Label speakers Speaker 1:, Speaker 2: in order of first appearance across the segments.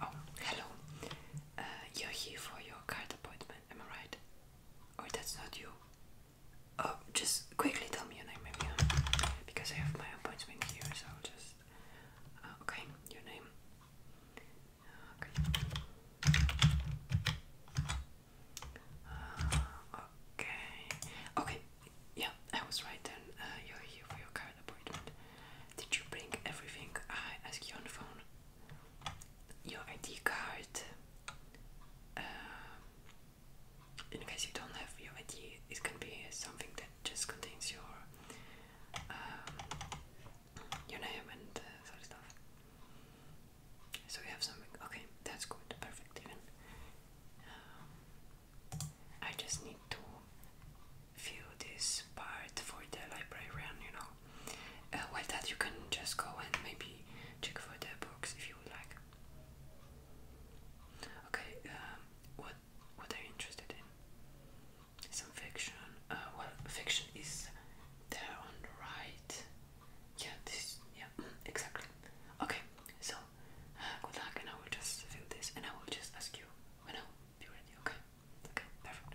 Speaker 1: Oh, hello. Uh, you're here for your card appointment, am I right? Or that's not you? Oh, just quickly tell me your name, maybe, huh? because I have my appointment here, so I'll just. Uh, okay, your name. Uh, okay. Uh, Okay. Okay. Yeah, I was right then. Uh, you're here for your card appointment. Did you bring everything I asked you on the phone? Your ID card. Uh, in case you don't have your ID, it's gonna be something that just contains your um, your name and uh, sort of stuff. So we have something. Okay, that's going good. Perfect. Even. Um, I just need to view this part for the librarian, you know. Uh, while that, you can just go and maybe check for the books if you would like. Okay, um, what what are you interested in? Some fiction. Uh, well, fiction is there on the right. Yeah, this. Yeah, exactly. Okay, so good luck, and I will just fill this, and I will just ask you when I'll be ready. Okay? Okay, perfect.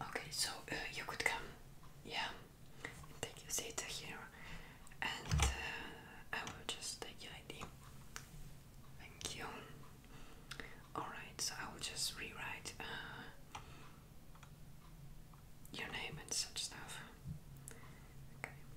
Speaker 1: Okay, so uh, you could come, yeah, take your seat here, and uh, I will just take your ID. Thank you. Alright, so I will just rewrite uh, your name and such stuff. Okay.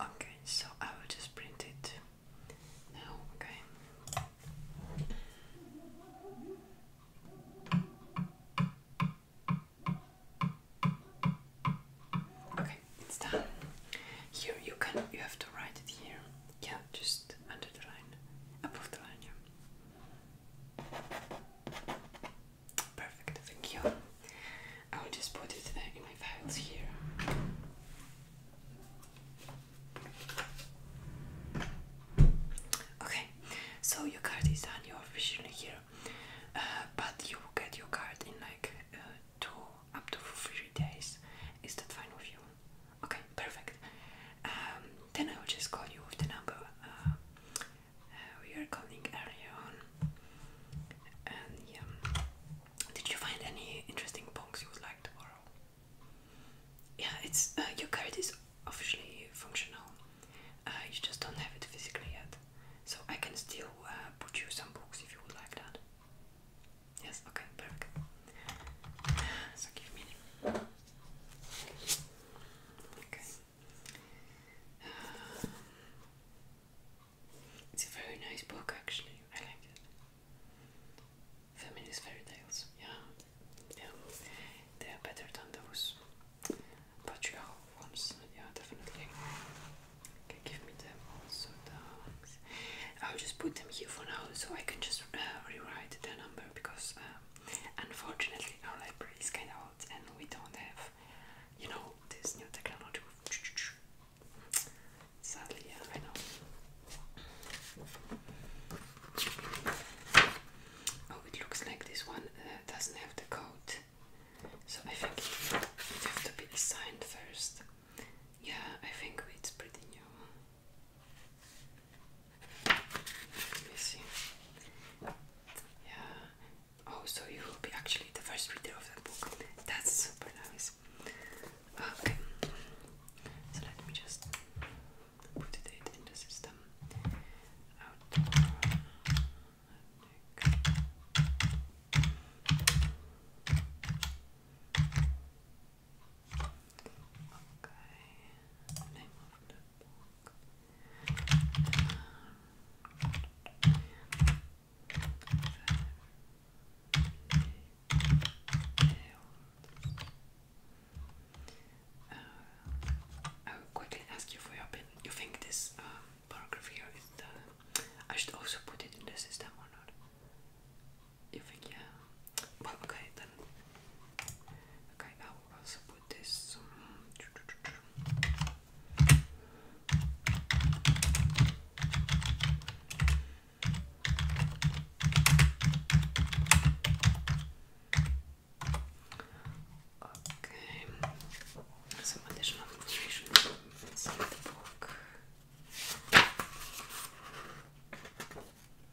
Speaker 1: Okay, so I will just print it now, okay. Okay, it's done. Here you can you have to write it here. Yeah, just under the line. Above the line, yeah. Perfect, thank you. I'll just put it in my files here. Okay, so your card is done, you're officially here. Uh, but you will get your card in like uh, two up to three days. Is that fine with you? Okay, perfect. Um, then I will just call you with the number uh, uh, we are calling earlier on. And yeah, did you find any interesting books you would like to borrow? Yeah, it's uh, your card is officially functional. you just don't have it physically yet, so I can still put you some books if you would like that. Yes. Okay. Perfect. So give me it's a very nice book, actually. I like it. Feminist fairy tales. Yeah, yeah. They are better than those patriarchal ones. Yeah, definitely. Okay, give me them also. Thanks. I'll just put them here for now, so I can just uh, rewrite the number because. Um, Unfortunately, our library is kind of old and we don't have, you know, this new technology. Sadly, yeah, I know. Oh, it looks like this one uh, doesn't have the code, so I think it have to be assigned first. Yeah, I think it's pretty new. Let me see. Yeah. Oh, so you will be actually the first reader of that book. That's super nice. Okay. So let me just put it in the system. Okay. Okay, I will quickly ask you for your opinion. You think this um, paragraph here is the. I should also put it in the system or not? You think, yeah? okay then. Okay, I will also put this. Um, okay, some additional information from inside the book.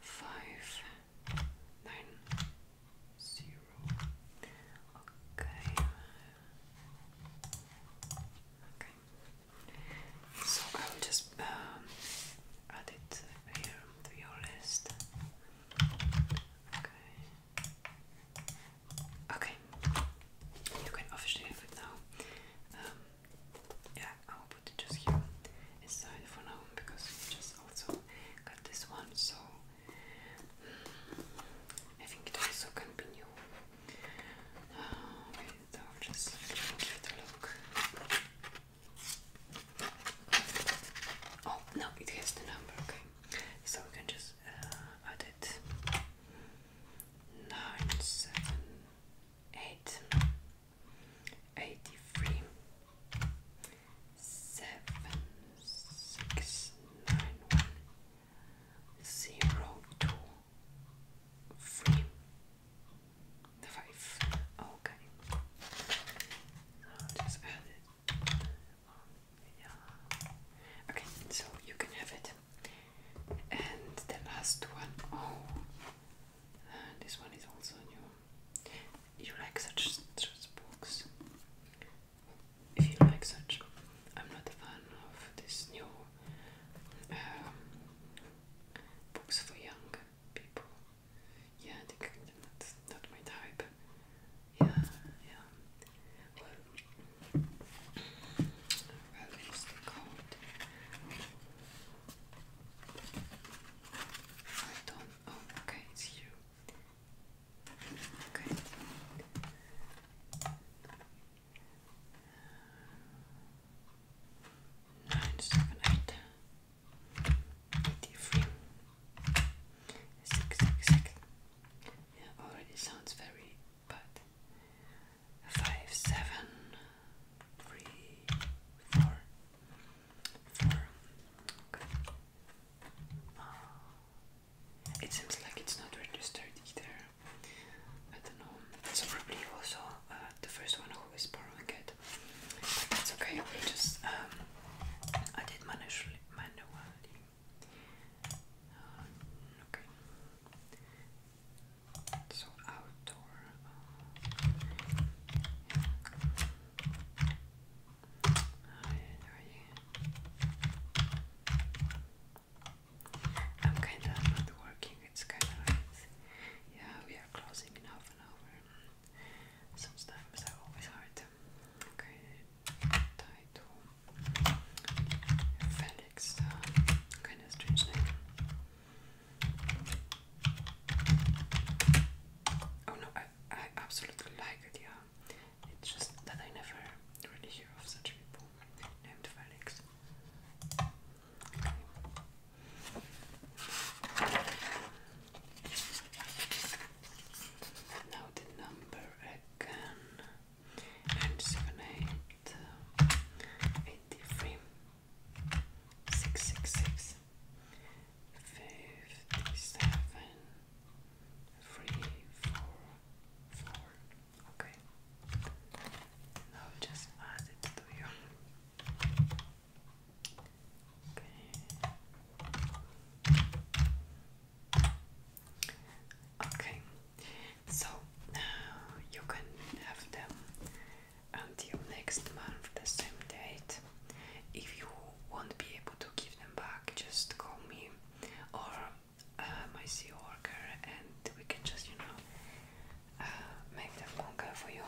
Speaker 1: five nine zero. Okay. Okay. So I'll just um, add it here to your list. Okay. Okay. You can officially have now. Um, yeah, I'll put it just here inside for now because we just also got this one, so mm, I think it also can be new. okay, so i just give it a look. Oh no, it has the number. Okay, so we can just uh, add it. Nine, seven, eight eighty-three, seven, six, nine, one, zero, two, three, five. Okay, oh, Okay, so you can have it. And the last one, oh, this one is also new. You like such, such books? If you like such, books, I'm not a fan of this new um, books for young people. Yeah, they, that's not my type. Yeah, yeah. Well, I don't. Oh, okay, it's you. Okay. Nine, seven, eight, eighty-three, six, six, six. Yeah, already sounds very bad. Five, seven it seems like it's not registered either. I don't know. So probably also uh, the first one who is borrowing it. But that's okay. We just um, I did manually uh, okay. So outdoor. Uh, I'm kind of not working. It's kind of Yeah, we are closing in half an hour. Sometimes are always hard. Okay, title Felix. Uh, kind of strange name. Oh no, I, I absolutely like it, yeah. It's just that I never really hear of such people named Felix. Now the number again seven eight uh, eighty three six six six fifty seven three four four okay now just add it to you okay okay so now you can have them until next month, the same date. If you won't be able to give them back, just call me or uh, my CEO worker, and we can just, you know, uh, make them longer for you.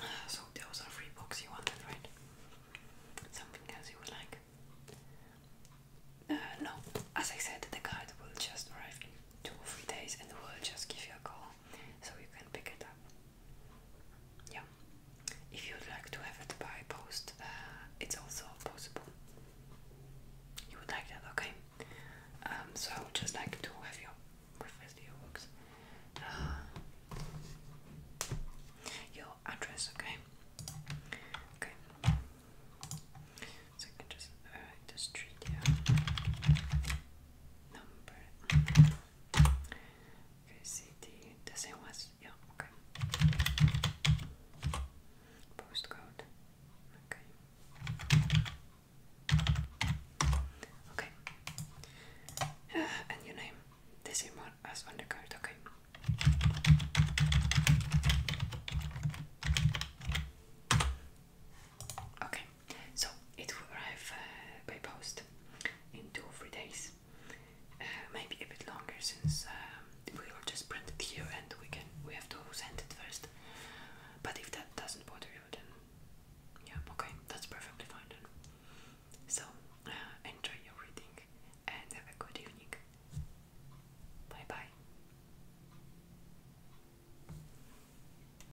Speaker 1: Uh, so those are three books you wanted, right? Something else you would like? Uh, no, as I said, the card will just arrive in two or three days, and we'll just give you a call so you can pick it up. Yeah. If you'd like to have it by post, uh, it's also possible. You would like that, okay? Um, so I would just like to have your reference books. Uh, your address, okay? Okay. So you can just uh, the street, number. city. The same yeah, okay. Postcode. Okay. Okay. and your name. The one as on the card, okay. Okay, so it will arrive uh, by post in two or three days, uh, maybe a bit longer since um, we will just print it here and we can we have to send it first. But if that doesn't bother you, then yeah, okay, that's perfectly fine So uh, enjoy your reading and have a good evening. Bye bye.